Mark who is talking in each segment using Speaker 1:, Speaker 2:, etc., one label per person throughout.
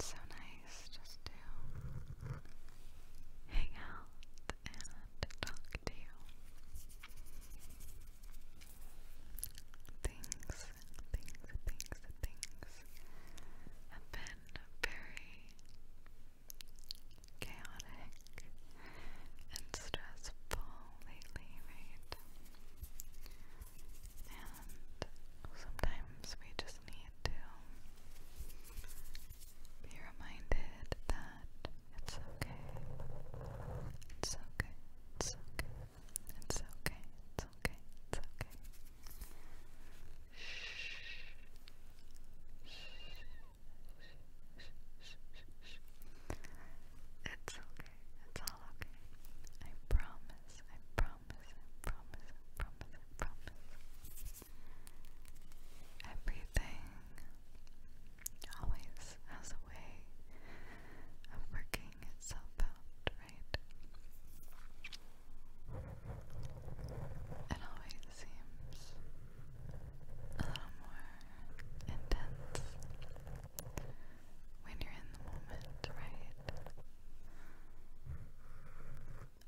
Speaker 1: so nice just to hang out and talk to you. Things, things, things, things have been very chaotic and stressful lately, right? And sometimes we just need to be reminded that it's okay. It's okay. It's okay. It's okay. It's okay. It's okay. Shh. Shh. Shh. Shh. Shh. Shh. It's okay. It's all okay. I promise. I promise. I promise. I promise. I promise. Everything always has a way of working itself out, right? It always seems a little more intense when you're in the moment, right?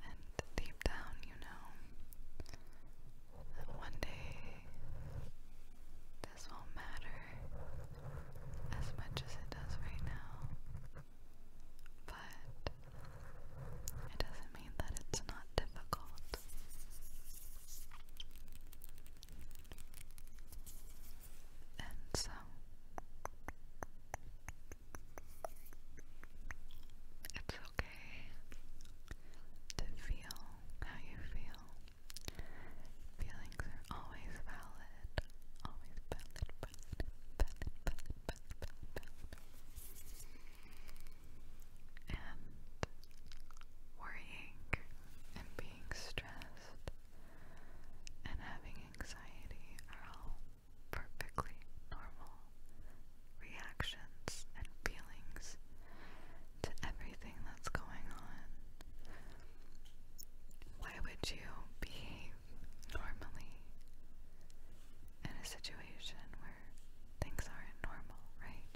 Speaker 1: And deep down, you know that one day this won't matter as much as it does right now. But it doesn't mean that it's not difficult and so it's okay to feel how you feel. Feelings are always valid, always valid, And worrying and being stressed and having anxiety are all perfectly normal reactions and feelings to everything that's going on.
Speaker 2: Why would you behave normally in a situation where things aren't normal, right?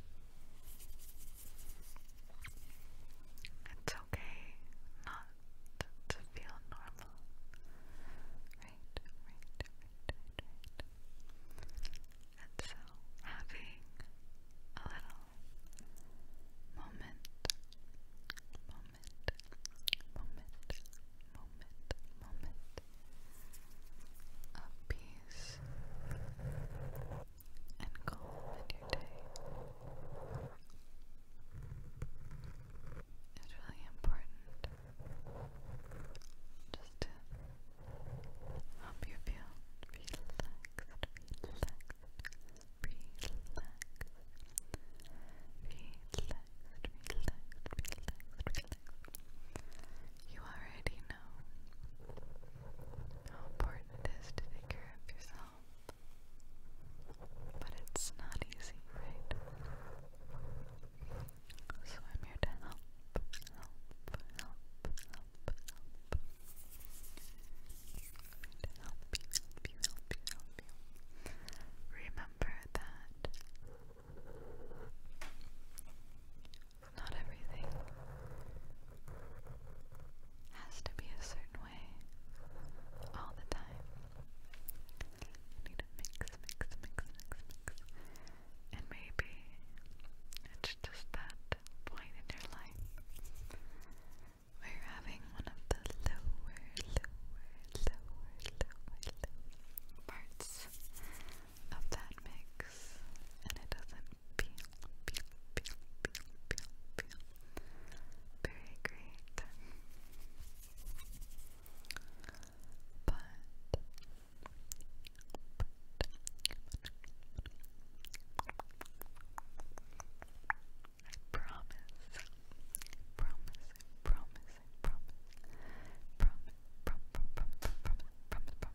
Speaker 2: It's okay not to feel normal. And so having a little moment, moment, moment, moment, moment of peace and calm in your day. It's really important just to help you feel relaxed, relaxed, relaxed, relaxed, relaxed, relaxed, You already know how important it is to take care of yourself. But it's not easy, right? So I'm here to help, help, help, help, help. help help help help Remember that not everything has to be a certain way all the time. I need to mix, mix, mix, mix, mix. And maybe it's just that point in your life where you're having one of the lower, lower, lower, lower parts of that mix, and it doesn't peel, peel, Very great. But, I promise, promise, promise, promise, promise, promise, promise, promise,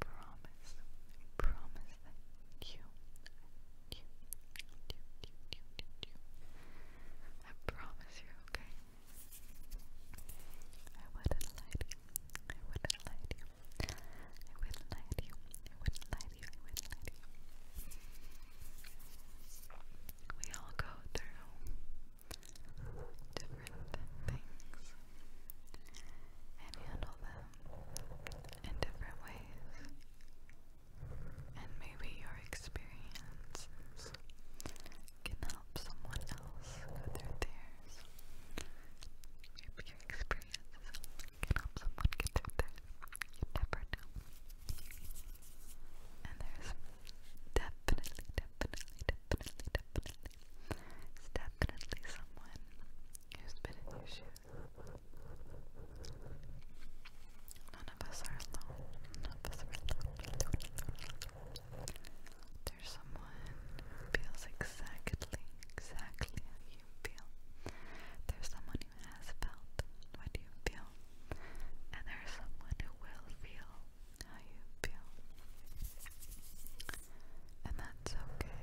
Speaker 2: promise, promise that you, you, you, you, you, you, I promise you, okay? I wouldn't lie to you, I wouldn't lie to you, I wouldn't lie to you, I wouldn't lie to you, I wouldn't lie to you. We all go through different things and handle them in different ways. And maybe your experiences can help someone else go through theirs. your experiences can help someone get through theirs. You And there's definitely, definitely, definitely, definitely, definitely someone who's been in your shoes. None of us are alone. None of us are alone. There's someone who feels exactly, exactly how you feel. There's someone who has felt what you feel. And there's someone who will feel how you feel. And that's okay.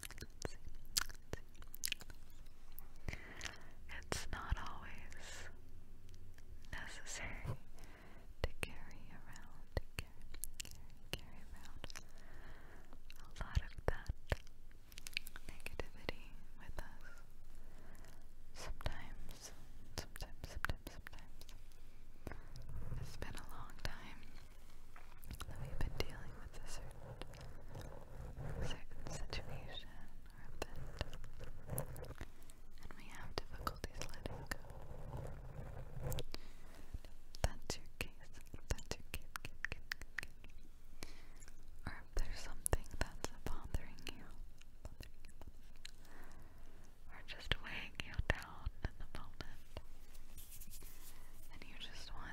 Speaker 2: Let's It's not always necessary to carry around, a lot of that negativity with us. Sometimes, sometimes, sometimes, sometimes. It's been a long time that we've been dealing with a certain situation or event, and we have difficulties letting go. That's your case. That's your case. Kid, kid, something that's bothering you, bothering just weighing you down in the moment, and you just want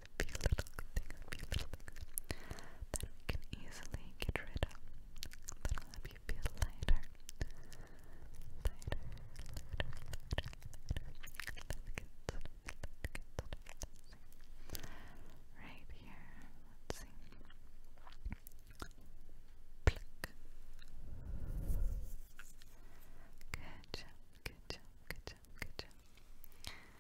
Speaker 2: a few little thing, a few little thing that can easily get rid of. That'll help you feel lighter. Right here. Let's see. Good job, good job, good job, good job.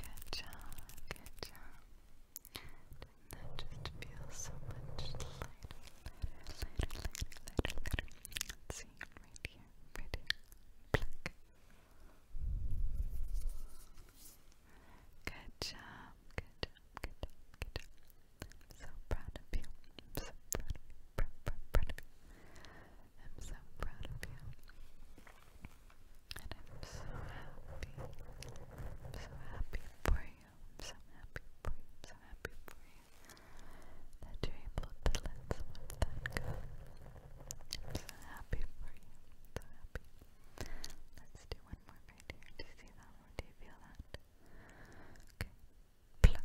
Speaker 2: Good job, good job. that just feel so much lighter, lighter, lighter, lighter, Let's see, right here, right here. Good job, good job, good job, good job. so proud of you. so proud I'm so proud of you. And I'm so happy. I'm so happy for you. I'm so happy for you. I'm so happy for you. That you're able to let go. I'm so happy for you. so happy. Let's do one more right here. Do you see that Do you feel that? Okay. Pluck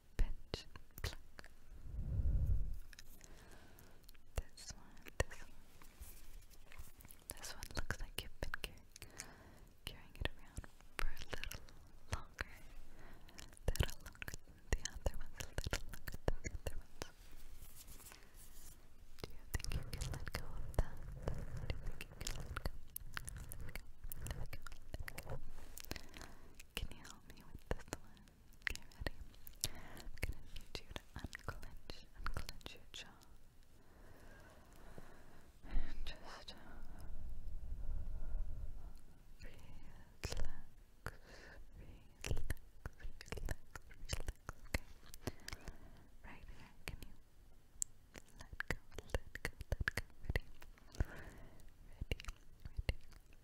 Speaker 2: pinch This one, this one. This one looks like you've been carrying, it around for a little longer. A little longer than the other ones, a little longer than the other ones. Do you think you can let go of that? Do you think you can let go? Let go, let go, let go. Can you help me with this one? Okay, ready? I'm gonna need you to unclench, unclench your jaw. And just uh, relax, relax, relax, relax. Okay. Right here, can you let go, let go, let go? Ready? Ready, ready.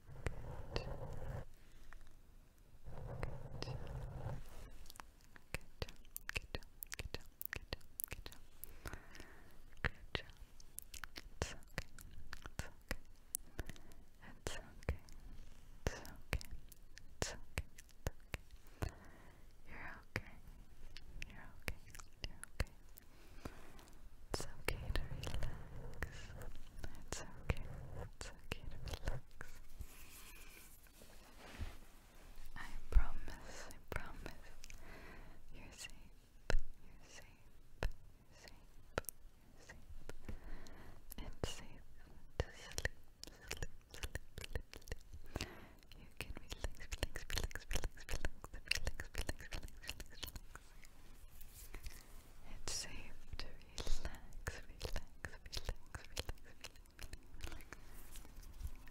Speaker 2: Good. Good. Good. Good. Good. Good. Good job. It's okay. It's okay. It's okay. It's okay. It's okay. It's okay. You're okay. You're okay. You're okay. It's okay to relax. It's okay. It's okay to relax. I promise, I promise. You're safe. You're safe. You're safe. You're safe. It's safe to sleep. Sleep, sleep, sleep, sleep. You can relax, relax, relax, relax, relax, relax, relax, relax, relax. It's safe to relax, relax, relax, relax, relax, relax.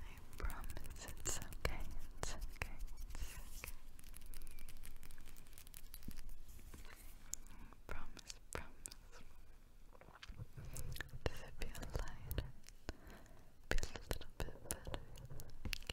Speaker 2: I promise it's okay, it's okay, it's okay. Promise, promise. Does it feel lighter? Feel a little bit better?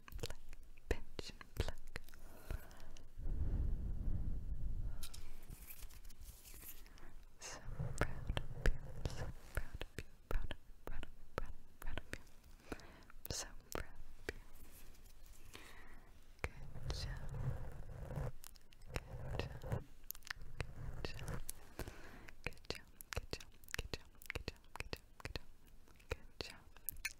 Speaker 2: and pluck, pinch pluck. So proud of you, so proud of you, proud of you, proud of you, proud of you, so proud of you. Good job. Good job. Good job. Good job. Good job. Good job. Good job. Good job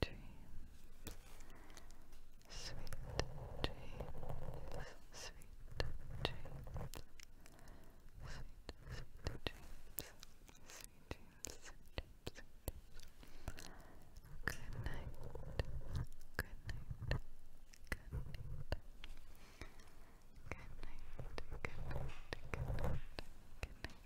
Speaker 2: dreams, sweet dreams, sweet dreams, sweet, dreams, sweet dreams, sweet dreams, sweet dreams. good night, good night. Good night, good night, good night, good night.